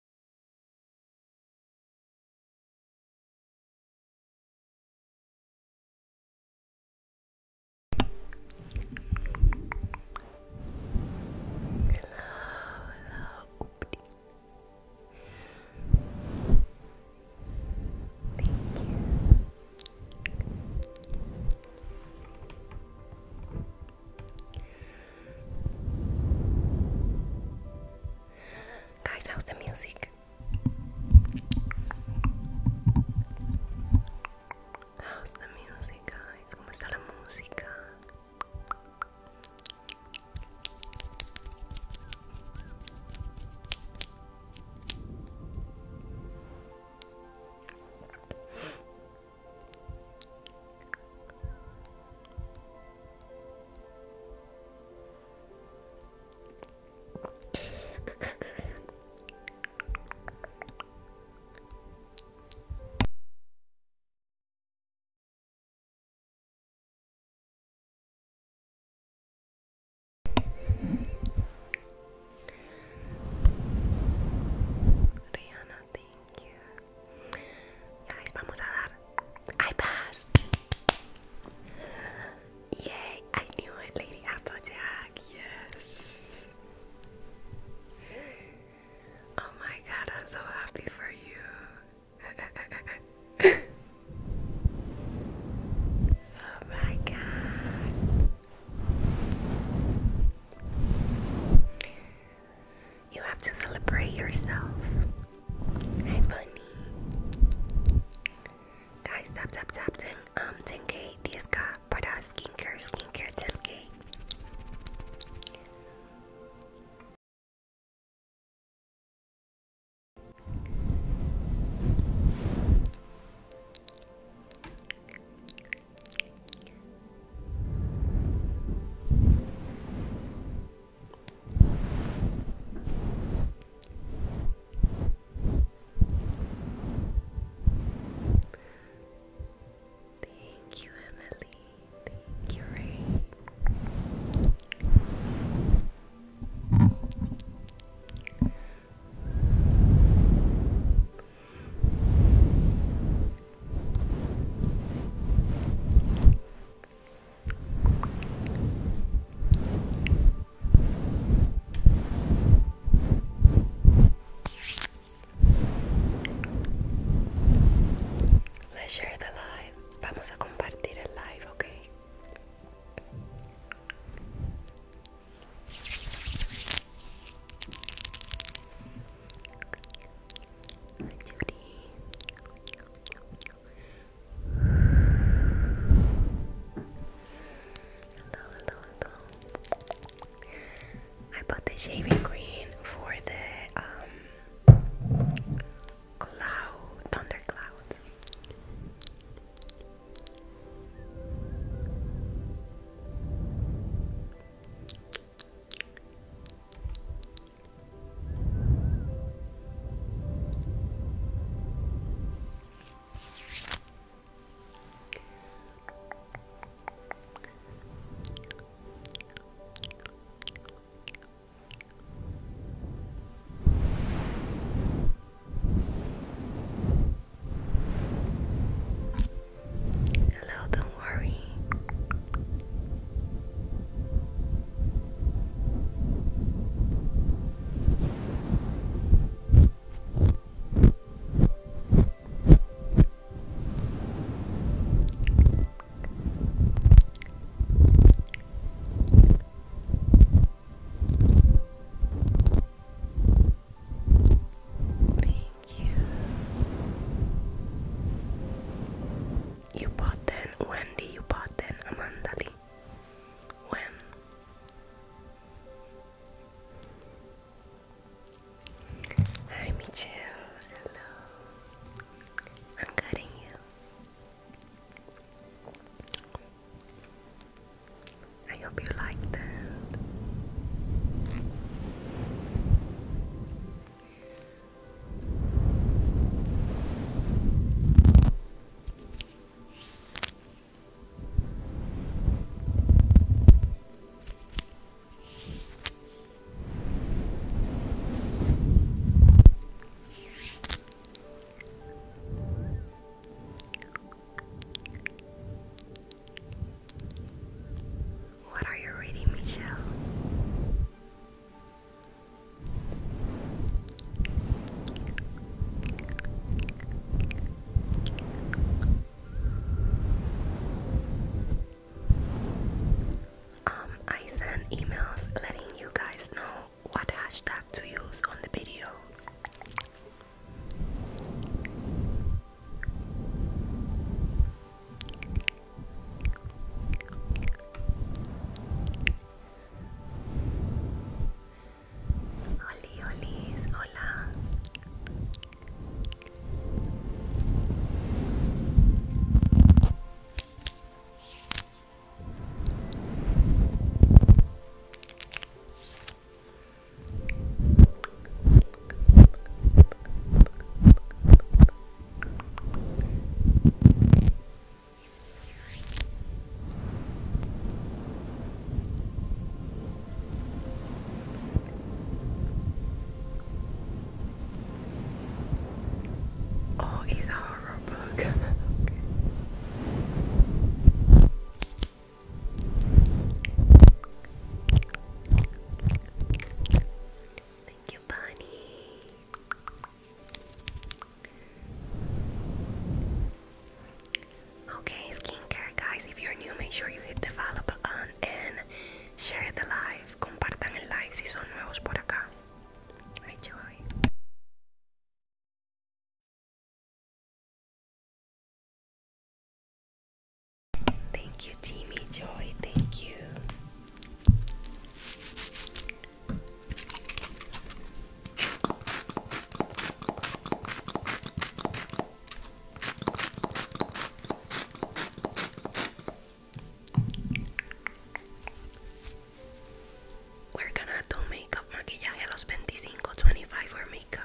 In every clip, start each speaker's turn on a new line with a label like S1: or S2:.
S1: hello, Thank you. Guys, how's the music? How's the music, guys? ¿Cómo está la Rihanna, thank you. Ya vamos a dar I passed. Yay, I knew it, Lady Applejack. Yes. Oh my god, I'm so happy for you. oh my god. You have to celebrate yourself. Hey bunny. Guys, tap tap tap 10 um 10k diska para skincare skincare 10k. Thank you, Emily. Thank you, Ray. Let's share the live. Vamos a compartir el live, okay. hello, hello. I bought the shaving cream for the um cloud thundercloud. Hello, don't worry. Thank you. You bought then, Wendy, you bought then, Amanda, Lee when Hi me Hello. I'm cutting you. I hope you like that. What are you reading, Michelle? Um, I send emails letting you guys know what hashtag to use on the video. Oli, Olis, hola.
S2: Oh, it's a horror book. Thank you, Bunny. Okay, skincare guys, if you're new, make sure you hit the follow button and share the live. Compartan el live si son nuevos por acá. Thank you, Timmy Joy. Thank you.
S1: We're gonna do makeup, maquillaje a los 25, 25 makeup.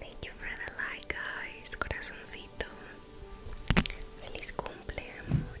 S1: Thank you for the like, guys. Corazoncito. Feliz cumple, amor.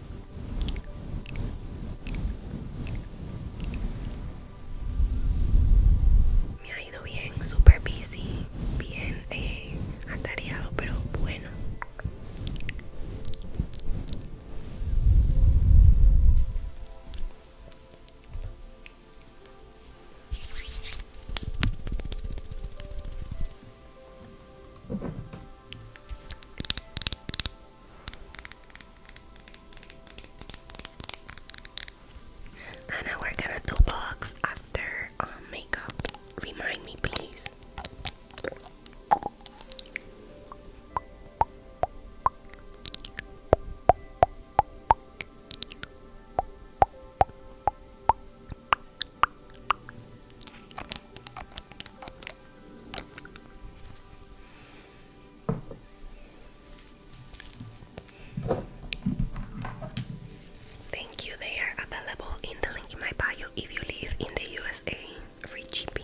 S1: Me ha ido bien, super busy, bien eh, atareado, pero bueno. Anna, we're gonna do box after um, makeup. Remind me, please. Thank you. They are available in the link in my bio if you live in the USA. Free shipping.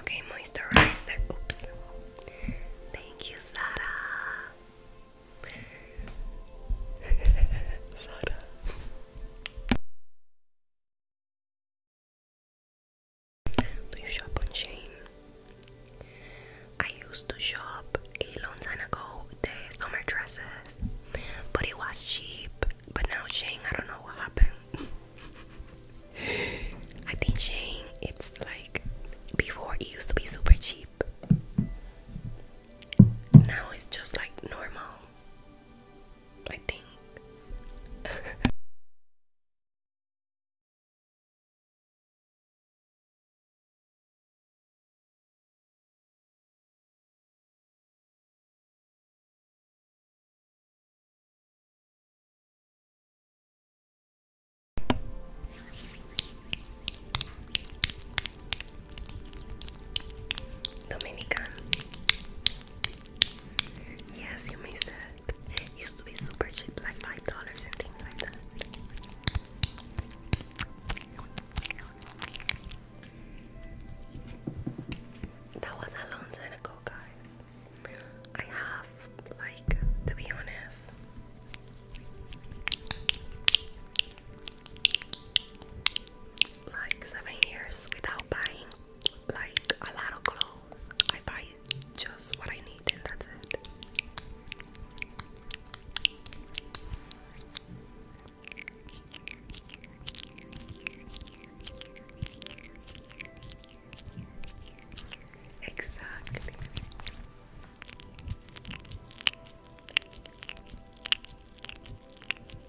S1: Okay, moisturizer. Oops. Thank you, Sarah. Do you shop on Shane? I used to shop a long time ago the summer dresses, but it was cheap. But now Shane, I don't know what happened. I think Shane, it's like before it used to be super cheap
S2: now it's just like normal. I think. Dominican. Yes, you missed that. It used to super cheap, like
S1: five dollars and things like that. That was a long time ago, guys. I have, like, to be honest, like seven years without buying like a lot of clothes. I buy just what I need and that's it. Exactly.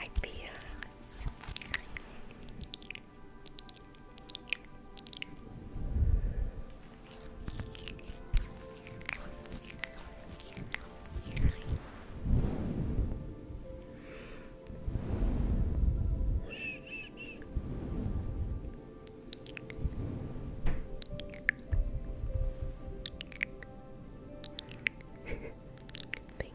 S1: Hi, Pia. Thank you. Relax.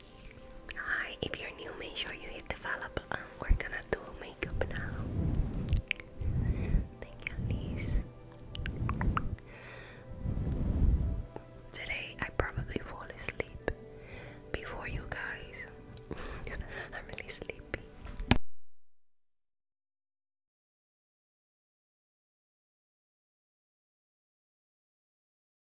S1: Hi, if you're new, make sure you hit the follow button. We're gonna do makeup now. Thank you, Elise. Today, I probably fall asleep
S2: before you guys. I'm really sleepy.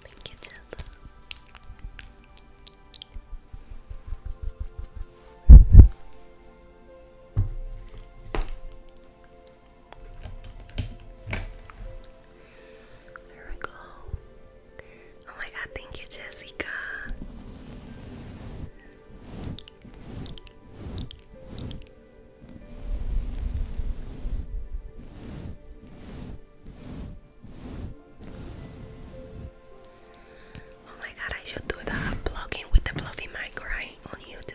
S1: Thank you, Jello. There we go. Oh my god, thank you, Jessica. Oh my god, I should do the blogging with the fluffy mic, right? On YouTube.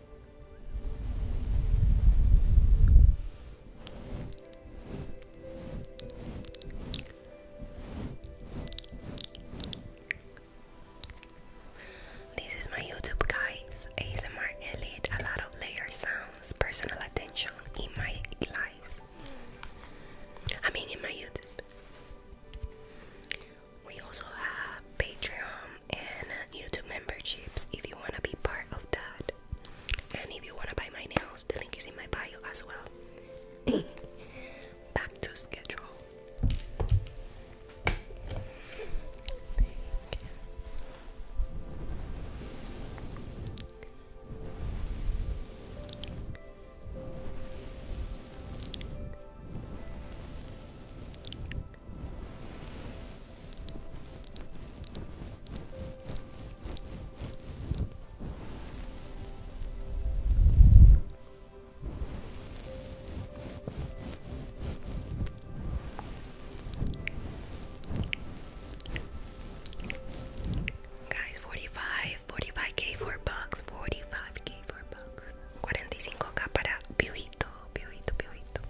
S1: This is my YouTube guys, ASMR Elite, a lot of layer sounds, personal attention in my lives. I mean in my YouTube. We also have Patreon and YouTube memberships if you want to be part of that. And if you want to buy my nails, the link is in my bio as well. Back to schedule. Guys, 45, k four bucks, 45k four bucks. 45k para piojito, piojito, piojito.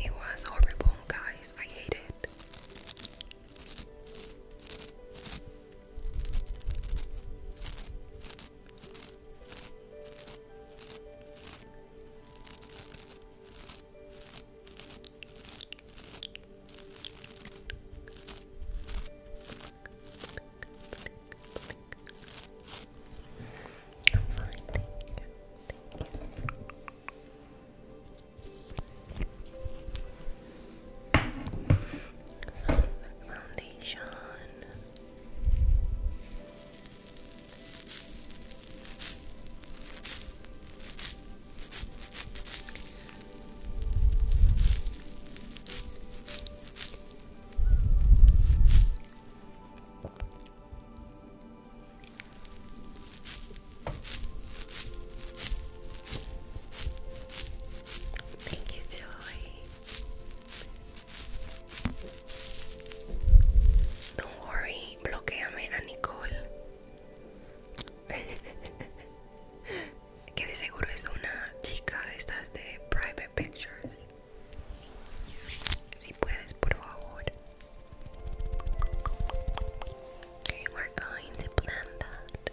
S1: It was horrible, guys. I hate it thank you. Foundation. Thank you, Joy. Don't worry, bloqueame a Nicole. que de seguro es una chica de estas de private pictures. Si puedes, por favor. we're going to blend that.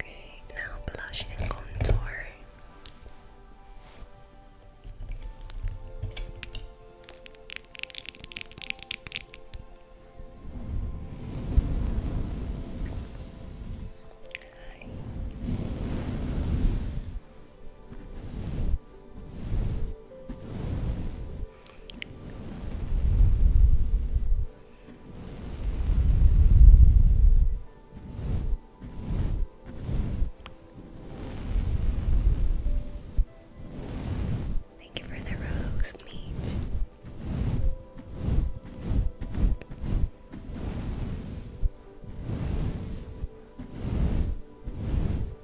S1: Okay, now blush and contour.
S2: Thank you for the rose, Meech.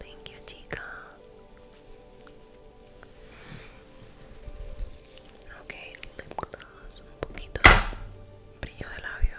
S2: Thank you, Tika. Ok, lip gloss, un poquito de brillo de labio.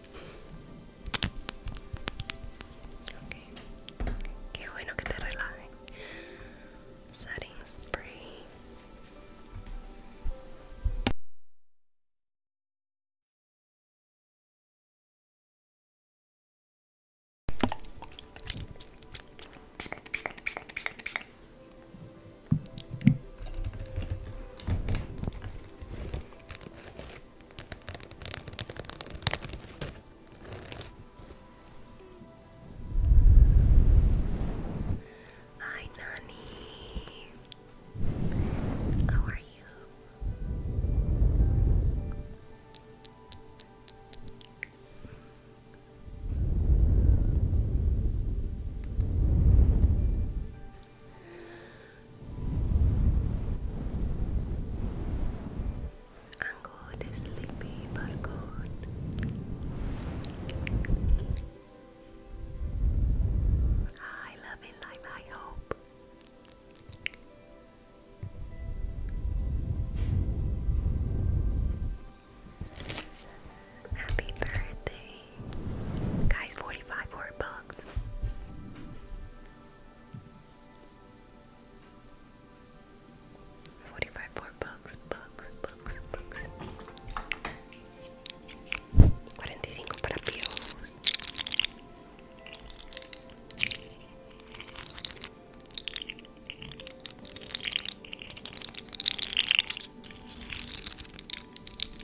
S2: Ok, qué bueno que te relaje. Setting spray. Hi, Nani. How are you?
S1: I'm good, sleepy, but I hope. Happy birthday, Guys, 45 word books. Forty-five more books, books, books, books. 45 para Pius.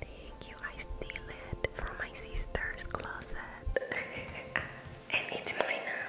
S1: Thank you. I steal it from my sister's closet. and it's mine now.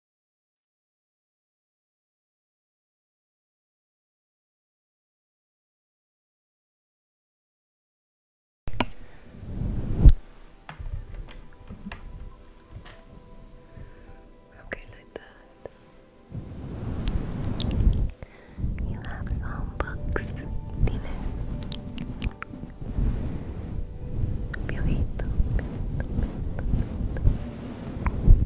S1: Okay, like that. You have some books, Dine. Piojito,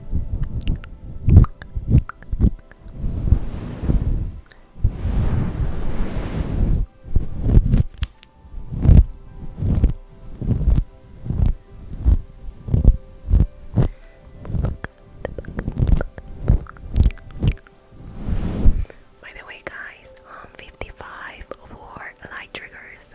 S1: By the way, guys, I'm um, 55 for light triggers.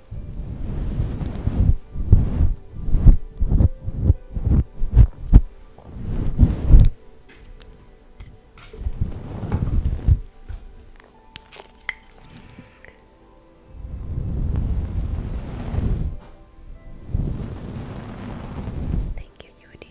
S1: Thank you, Judy.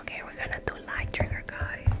S2: Okay, we're gonna do light trigger, guys.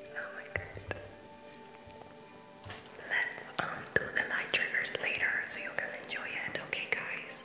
S2: Oh my god. Let's um the light triggers later so you can enjoy it, okay guys?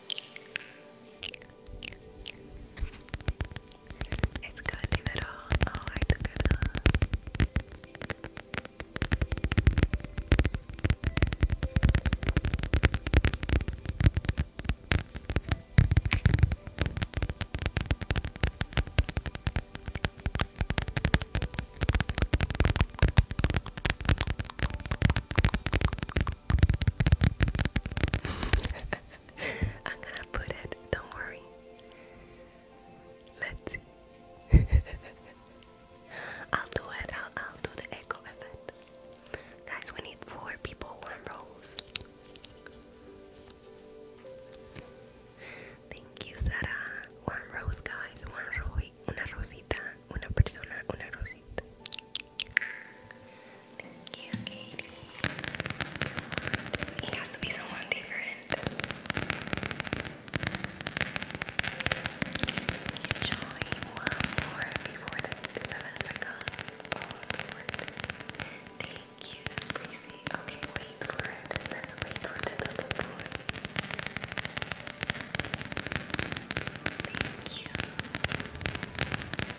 S2: It's gonna be better. All right, I'm gonna put it, don't worry. Let's see. I'll do it, I'll, I'll do the echo effect. Guys, we need four people, one rose. Thank you, Sarah. One rose, guys, one rose, una rosita, una persona, una rosita. Thank you, Katie. It has to be someone different. Enjoy one more before the seven forgot all the Thank you, Breezy. Okay, wait for it. Let's wait for the double Thank you.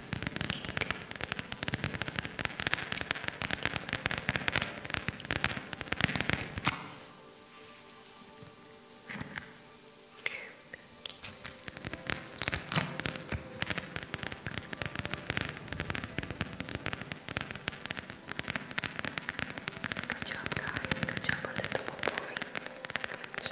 S2: Good job, guys. Good job, a little boy. Good job.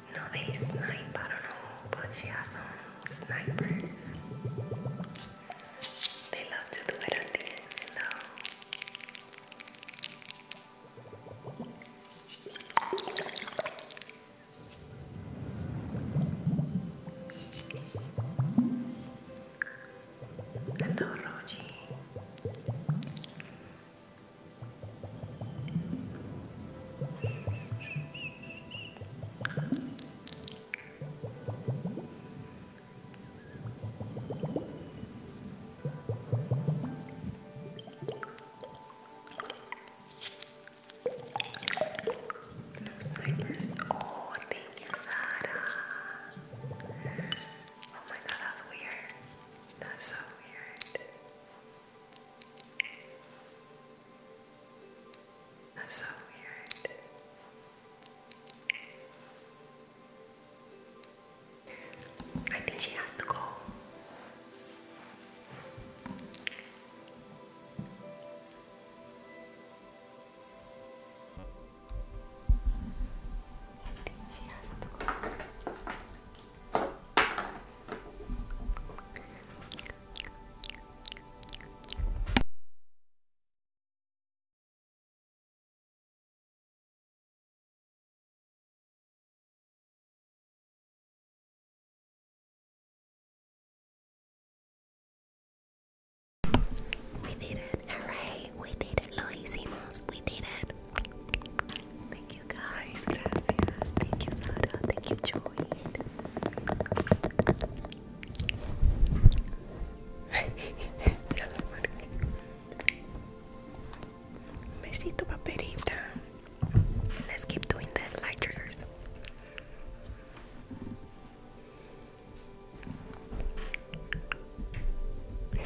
S2: No, they snipe. I don't know, but she has some snipers. They love to do it at the end, you Snipers. Oh, thank you, Sarah. Oh my god, that's weird. That's so weird. That's so weird. I think she has to go. I think she has to go. We did it. Hooray. We did it. Lo hicimos. We did it. Thank you guys. Gracias. Thank you, Sara. Thank you, Joy. Besito paperita. Let's keep doing the light triggers.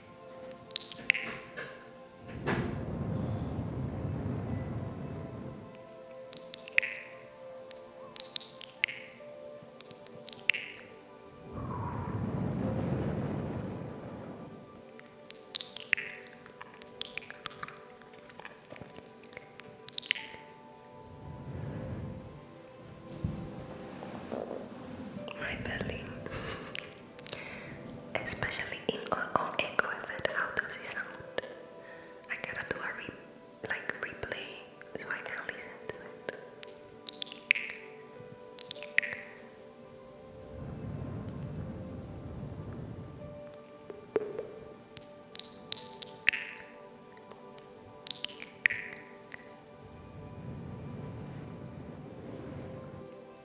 S2: My belly. Especially in, on echo and how does it sound? I gotta do a like replay so I can listen to it.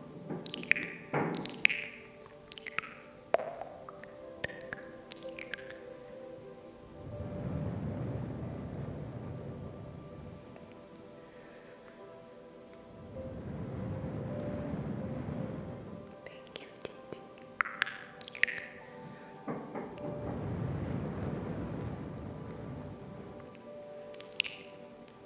S1: Thank you, Gigi. Thank Thank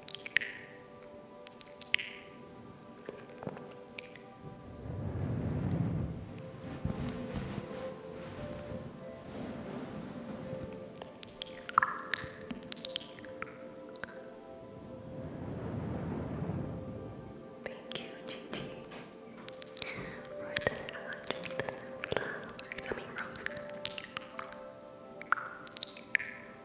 S1: you, Gigi. For the hundred flowers. I mean roses.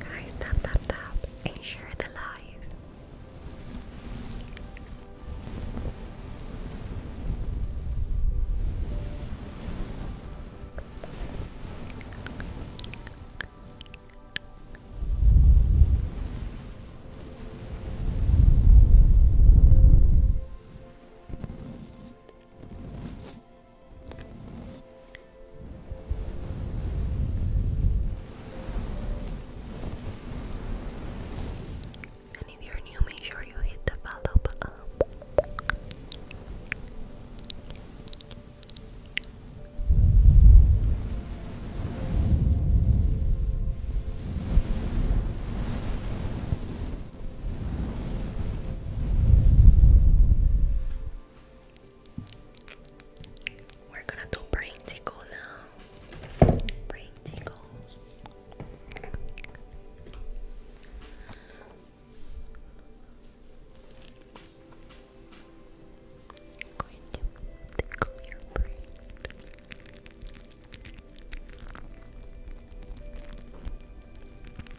S1: Guys, tap tap tap and share the live. And if you're new, make sure you hit the follow button. We're gonna do brain tickle now. Brain tickle. I'm going to tickle your brain.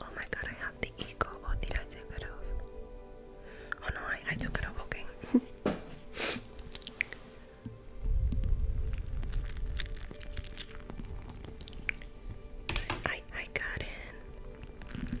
S1: Oh my god, I have the echo. Oh, did I take it off? Oh no, I, took it off, okay. I I got in.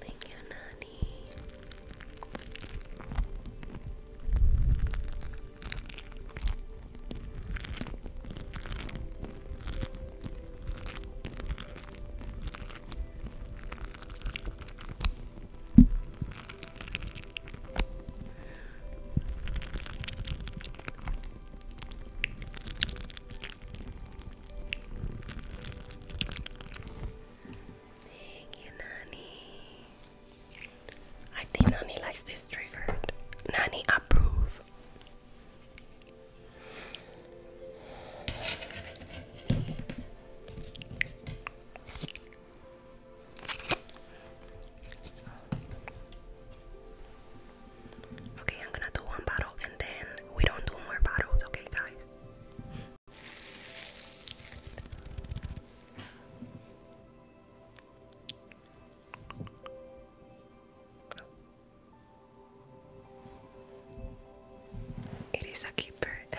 S1: Thank you, Nani. Thank Nani. I think Nani likes this trigger. Nani approve. Okay, I'm gonna do one bottle and then we don't do more bottles, okay, guys? It is a keeper.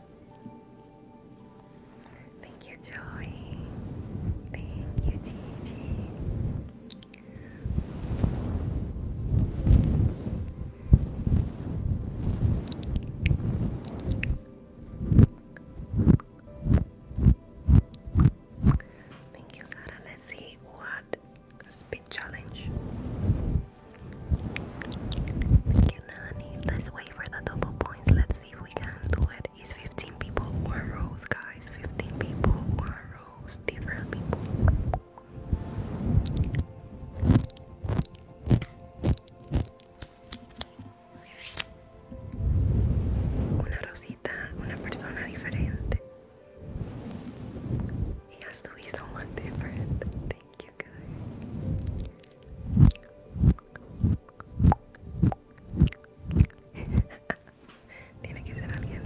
S1: Thank you, Joey. Thank you, Gigi. Thank you, Sarah. Let's see what speed challenge. Yanani, let's wait for the double points. Let's see if we can do it. It's 15 people, one rose, guys. 15 people, one rose, different people. Una rosita, una persona diferente. It has to be someone Thank you guys. Tiene que ser alguien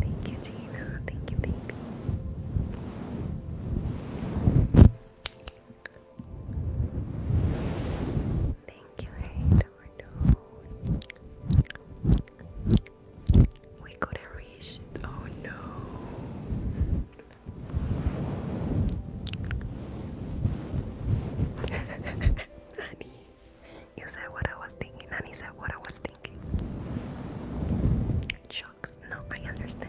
S1: Thank you, Gina. Thank you, thank you. Thank you, Oh no. Honey, you said what I was thinking. Honey said what I was thinking. Shucks. No, I understand.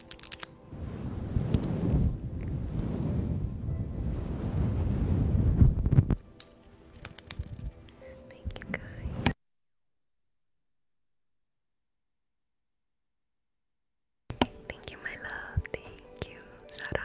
S1: Thank you, guys. Thank you, my love. Thank you, Sarah.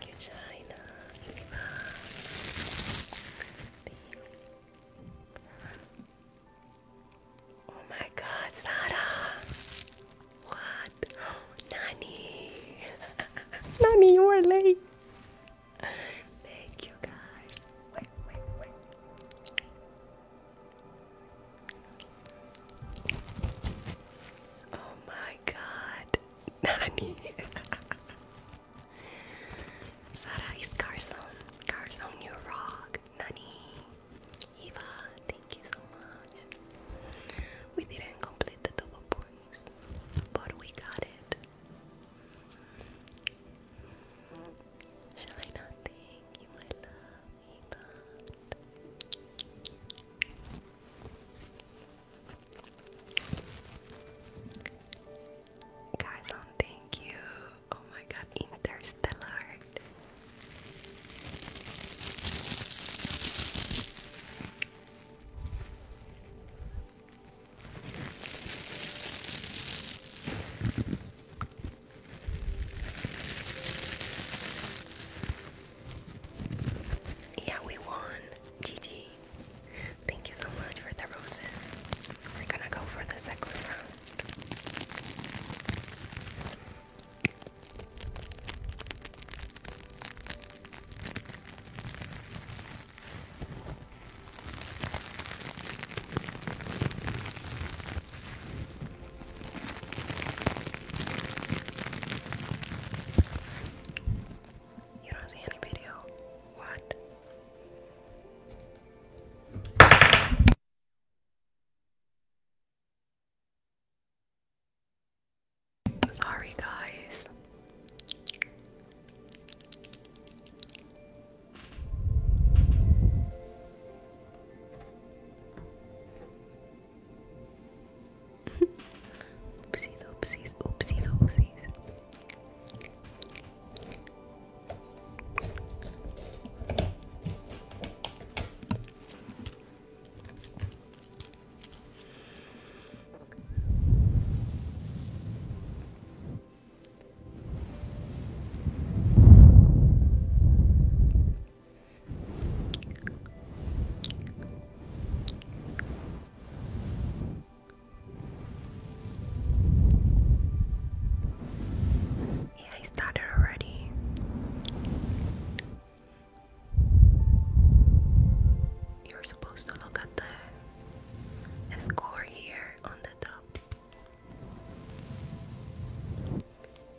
S1: Regina, Eva, Oh my god, Sarah! What? Nani! Nani, you are late! Thank you guys! Wait, wait, wait. Oh my god, Nani. Sara is Carson. Carson, you rock. Nani. Eva, thank you so much. We didn't complete the double points, but we got it. Shall I not thank you, my love? Guys, thank you. Oh my god, Interstellar. Yeah, we won. GG. Thank you so much for the roses. We're gonna go for the second round. You don't see any video. What? Sorry, guys oopsies, oopsies, oopsies, oopsies. Yeah, I started already. You're supposed to look at the score here on the top.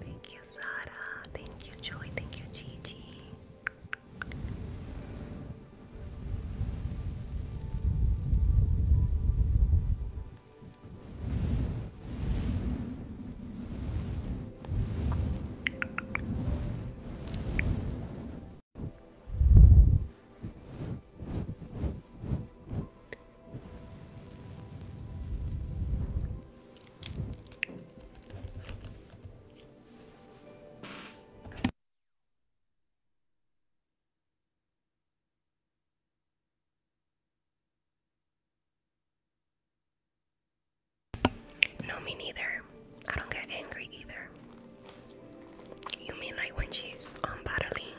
S1: Thank you, Sarah. Thank you, Joy. Thank you, Gigi. No, me neither. I don't get angry either. You mean like when she's um battling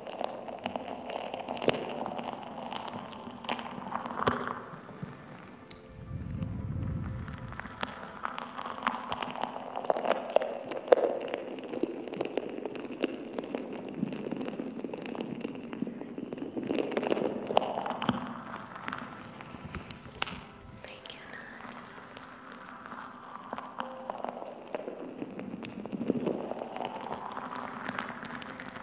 S1: Thank you. Nana.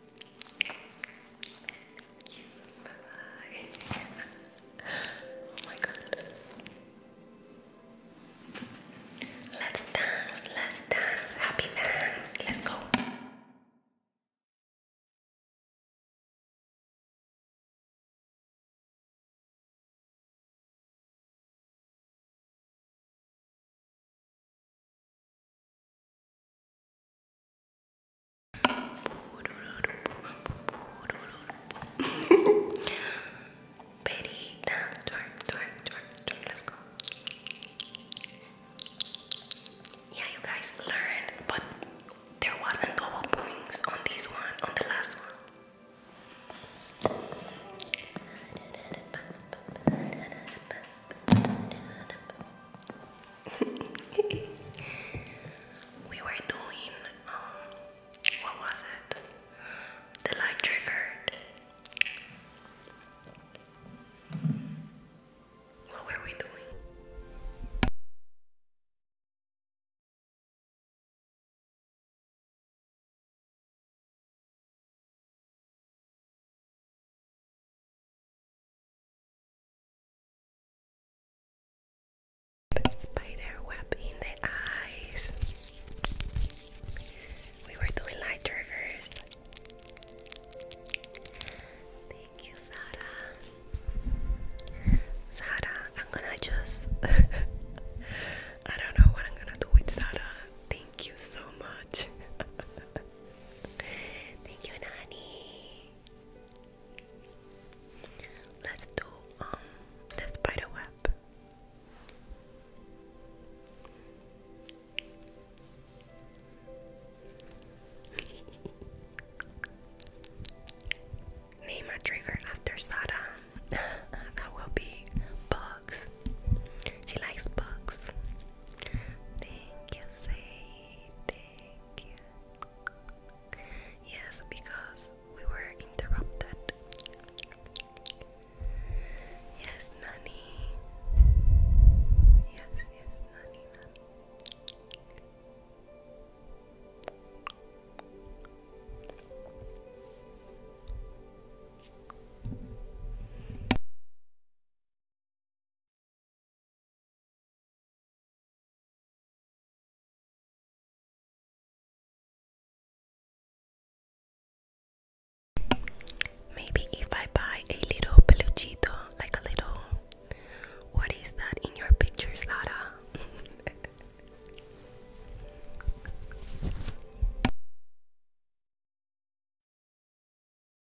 S1: Oh let's dance, let's dance, happy dance, let's go. Perita, twerk, twerk, twerk, twerk, let's go. Yeah, you guys learned, but there wasn't double points on this one, on the last one. we were doing, um, what was it? The light triggered. What were we doing? Spider web in the eyes. We were doing light Thank you, Sara. Sara, I'm gonna just. I don't know what I'm gonna do with Sara. Thank you so much. Thank you, Nani. Let's do um, the spider web. Name a trigger after Sara. that will be bugs. She likes books. Yes, because we were interrupted. Yes, Nani. Yes, yes, Nani, Nani.
S2: Maybe if I buy a little peluchito, like a little. What is that in your pictures, Lara?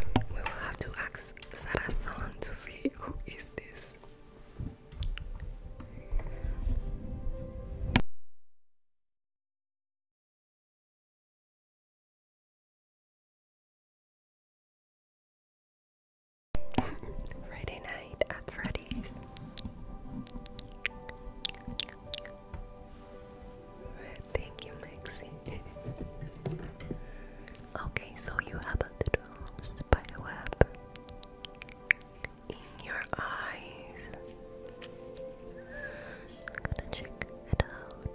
S2: We will have to ask Sarah Song to see who is this. Friday night at Freddy's. Thank you, Maxie. okay, so you have a little spider in your eyes. I'm gonna check it out.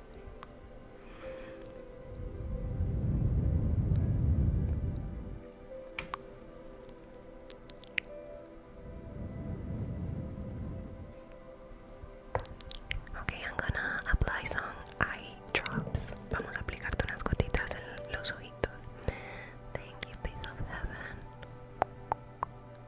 S1: Ok, I'm gonna apply some eye drops. Vamos a aplicarte unas gotitas en los ojitos. Thank you, peace of heaven.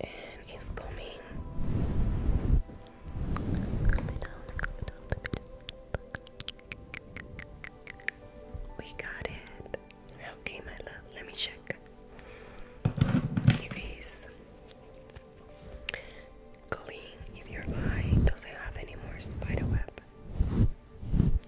S1: and it's coming. We got it. Okay, my love. Let me check. If clean, if your eye doesn't have any more spider web.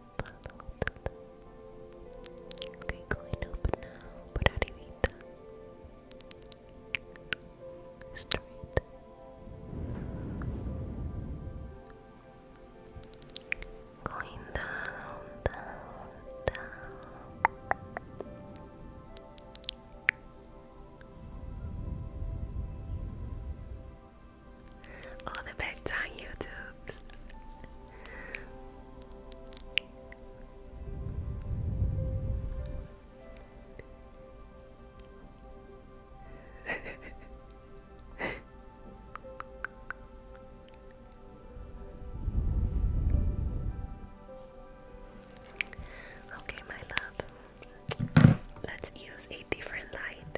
S1: follow the light. Okay, going up now, por Straight. Going down, down, down. All the bets on YouTube. okay, my love. Let's use a different light.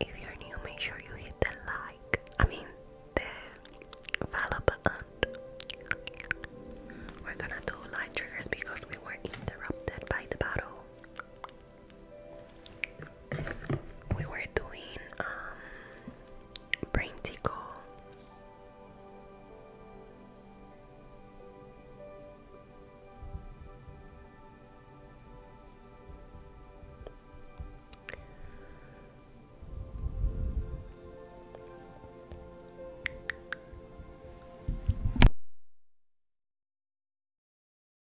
S1: If you're new, make sure you hit the like, I mean, the follow button. We're gonna do light triggers because we were interrupted by the battle we were doing um brain tickle.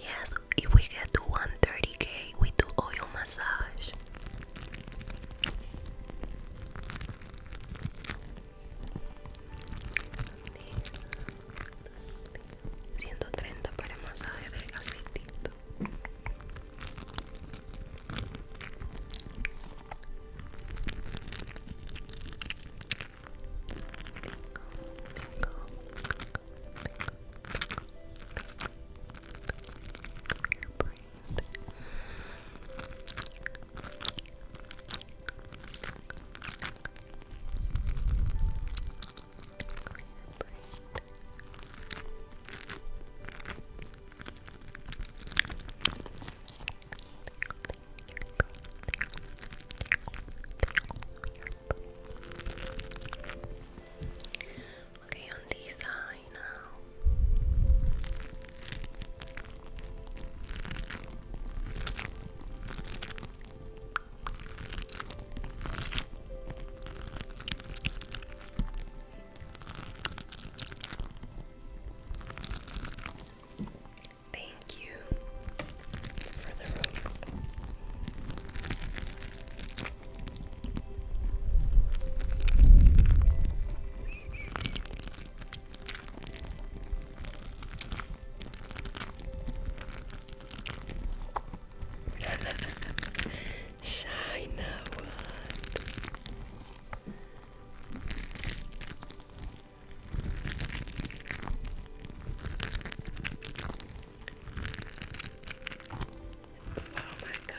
S1: Yes, if we get to 130k, we do oil massage. 130 para masaje de aceitito Okay, on this side now. Thank you for the roast. China one. Oh my God.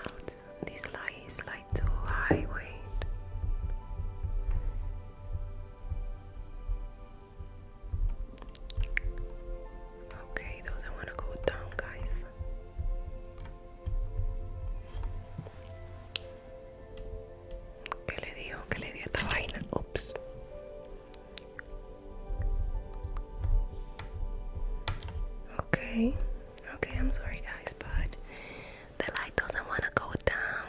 S1: Out. This light is light too high weight. Okay, those I want to go down, guys. ¿Qué le dio? ¿Qué le dio esta vaina? Ups. Okay, okay, I'm sorry, guys, but the light doesn't want to go down.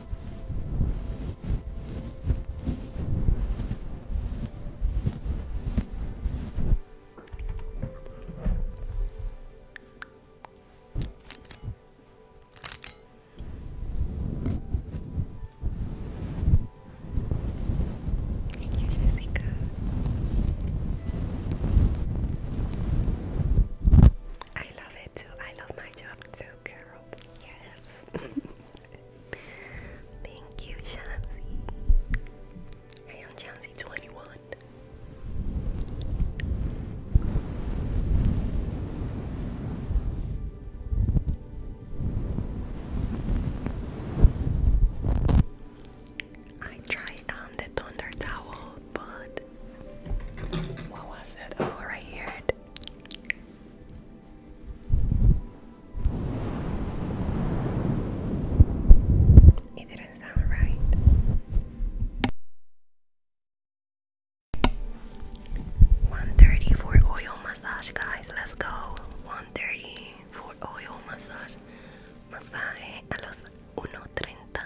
S1: Thank you, I love it too. I love my job too, girl. Yes. Thank you, Chauncey. I am Chauncey 21. I tried on the thunder towel, but what was it? Oh, right here. It didn't sound right. One thirty for oil massage, guys. Let's go. One thirty for oil massage. Masaje a los uno treinta.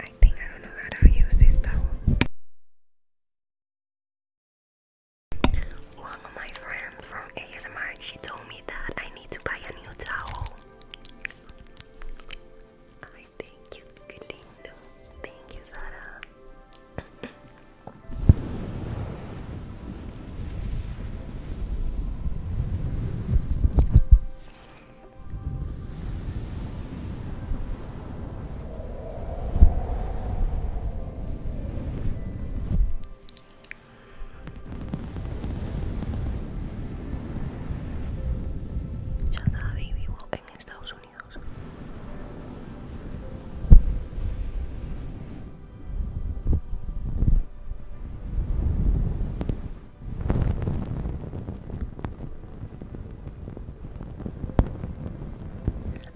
S1: I think I don't know how to use this towel. One of my friends from ASMR, she told me that I need to buy a new towel. I thank you, Kalina. Thank you, Zara. Ya y vivo en Estados Unidos.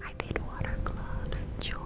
S1: I did water gloves, joy.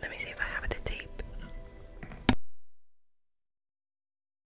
S2: Let me see if I have the tape.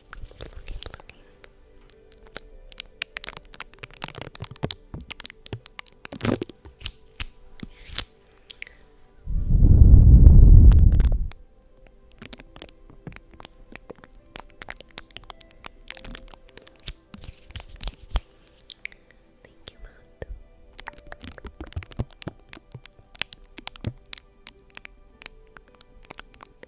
S2: looking, looking. Thank you, Matt. Thank Joycey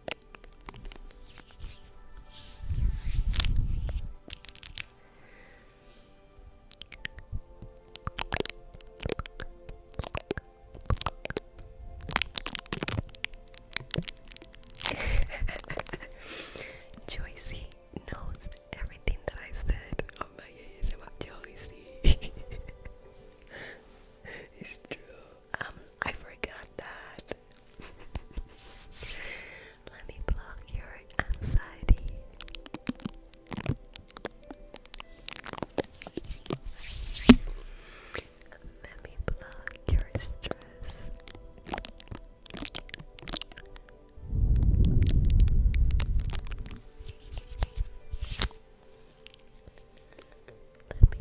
S2: knows everything that I said. Oh my god, it's it's true. Um, I forgot that. Let me block your anxiety. Let me block your stress. Let me block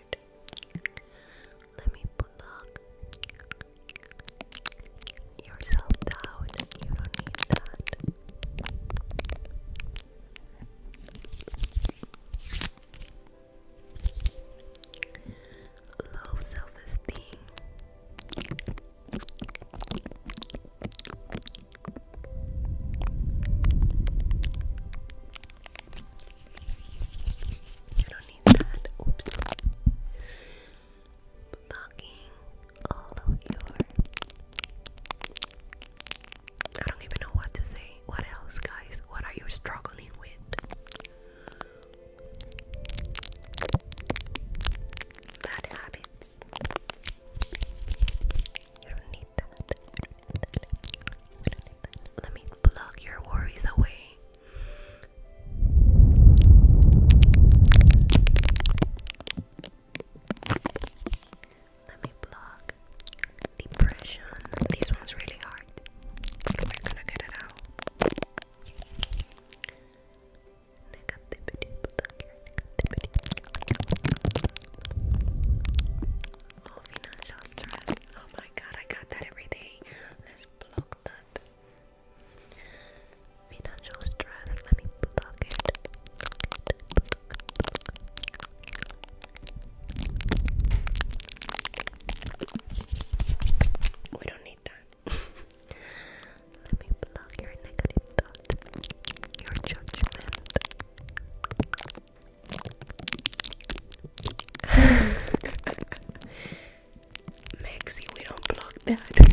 S1: Let me plug yourself down. You don't need that. Low self esteem. You don't need that. Oops. Blocking all of your. I don't even know what to say. What else, guys? What are you struggling with? Bad habits. You don't need that. Let me plug your worries away. Let me plug depression. This one's really hard. We're get it out. Negativity, Oh, financial stress my god, I got that every day. Let's block that. Financial stress, let me block it. We don't need that. let me block your negative thought, your judgment. Maxie, we don't block that.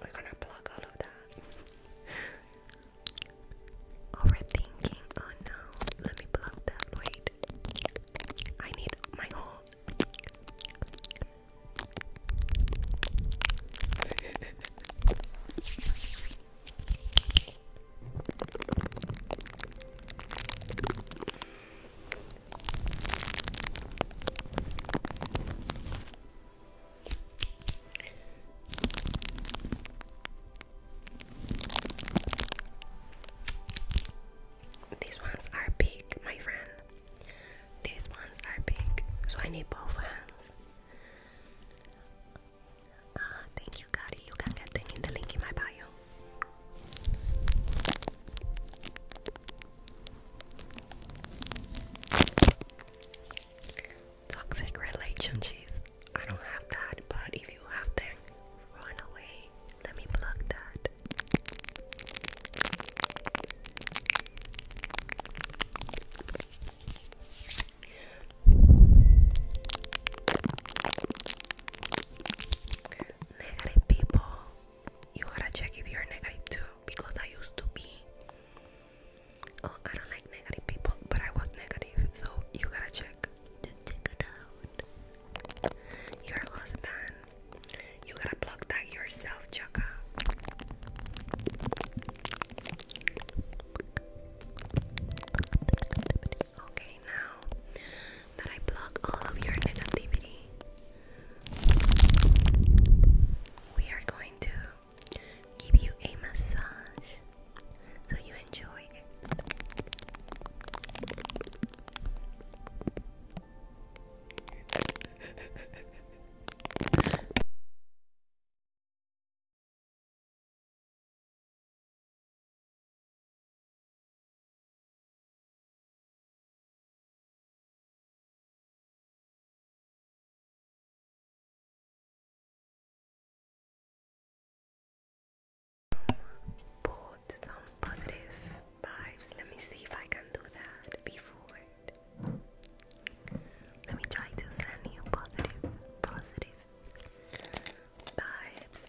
S1: We're gonna block all of that. Overthinking. Oh no, let me block that. Wait, I need my hold. These ones are big, my friend. These ones are big, so I need both hands. Ah, thank you, Gotti. You can get the link in my bio. Toxic relationships. I don't have that, but if you have them, run away. Let me plug that. Negative people, you gotta check if you're negative too. Because I used to be. Oh, I don't like negative people, but I was negative, so you gotta check. Take it out. Your husband, you gotta block that yourself, Chaka. Okay, now that I block all of your negativity, we are going to give you a
S2: massage so you enjoy it. Put some positive vibes. Let me see if I can do that before. Let me try to send you positive, positive vibes.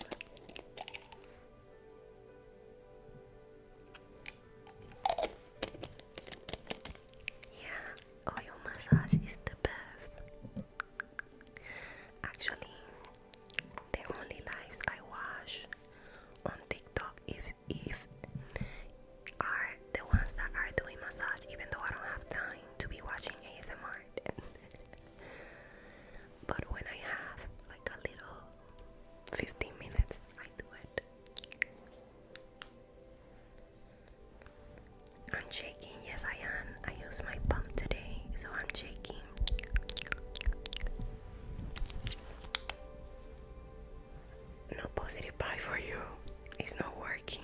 S2: Yeah, oil massage is the best. Actually, the only lives I watch on TikTok is if the ones that are doing massage, even though I don't have time to be watching
S1: ASMR. but when I have like a little 15 minutes, I do it. Unshaking, yes, I am. I use my pump today, so I'm shaking. No positive pie for you, it's not working.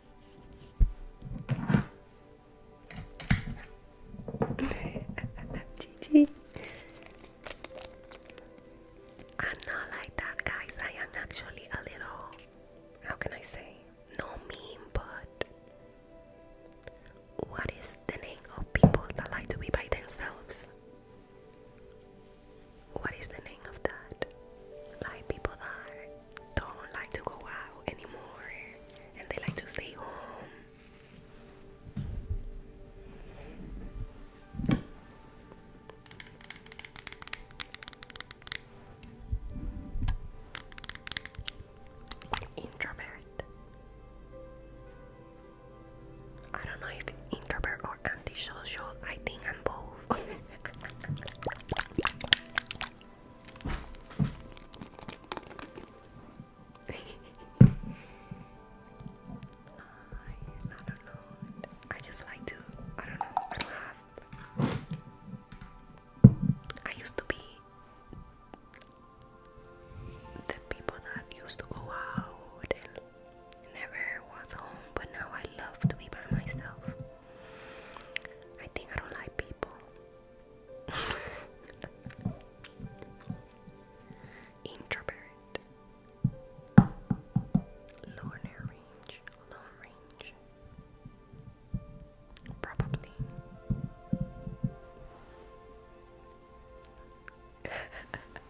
S1: GG. I'm not like that, guys. I am actually a little, how can I say, no mean, but what is the name of people that like to be by themselves? what is the name of that? Like people that don't like to go out anymore and they like to stay home. Introvert. I don't know if introvert or antisocial. I think I'm both. I just like to. I don't know. I used to be the people that used to go out and never was home, but now I love to be by myself. I think I don't like people. Introvert. Lower range. Lower range. Probably.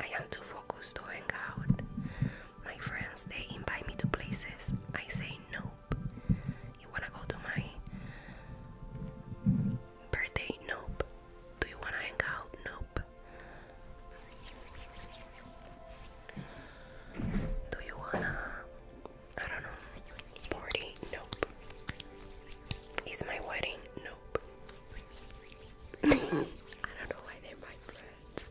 S1: I am too focused to hang out. My friends they invite me to places. I say nope. You wanna go to my birthday? Nope. Do you wanna hang out? Nope. Do you wanna I don't know party? Nope. It's my wedding? Nope. I don't know why they're my friends.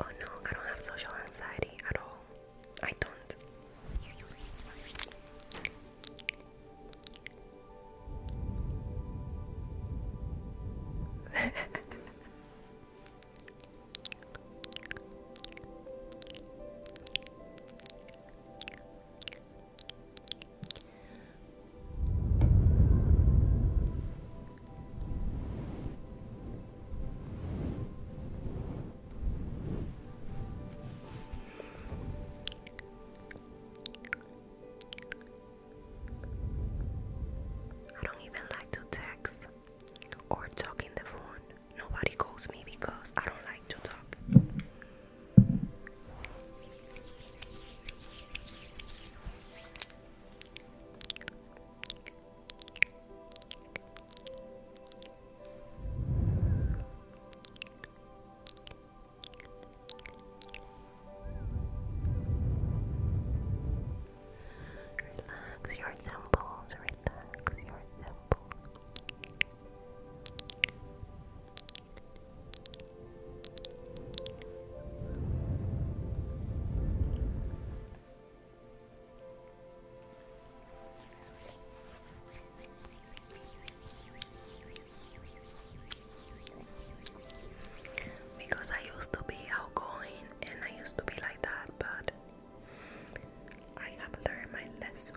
S1: Oh no, I don't have social anxiety at all. I don't. I don't even like to text or talk in the phone. Nobody calls me because I don't like to talk. Relax your temples, relax your temples. Because I used to be outgoing and I used to be like that, but I have learned my lesson.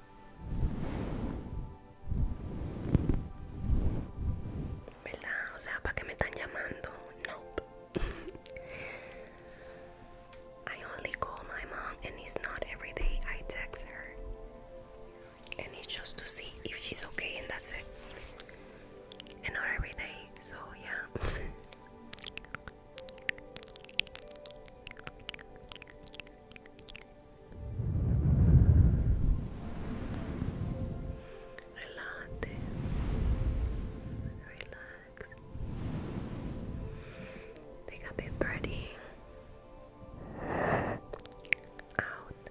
S1: Nope. I only call my mom, and it's not every day I text her. And it's just to see if she's okay, and that's it. And not every day, so yeah. Relate, relax. Take a big breath in, out.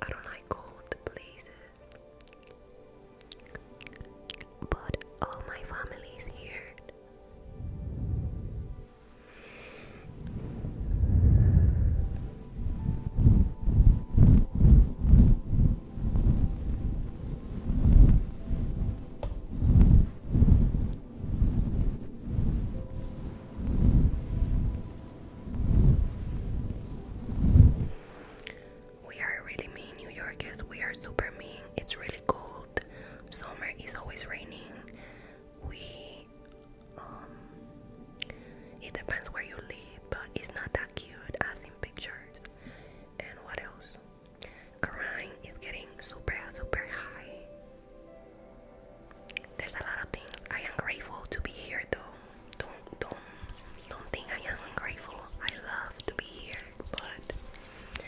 S1: I don't like cold places. But all my family is here. We are really mean, New Yorkers. We are super mean. It's really cold. Summer is always raining. We, um, it depends where you live, but it's not that cute as in pictures. And what else? crime is getting super, super high. There's a lot of things. I am grateful to be here, though. Don't, don't, don't think I am ungrateful. I love to be here, but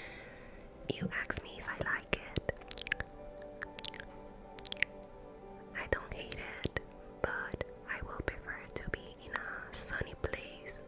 S1: you ask me if I like it. I don't hate it, but I will prefer to be in a sunny place.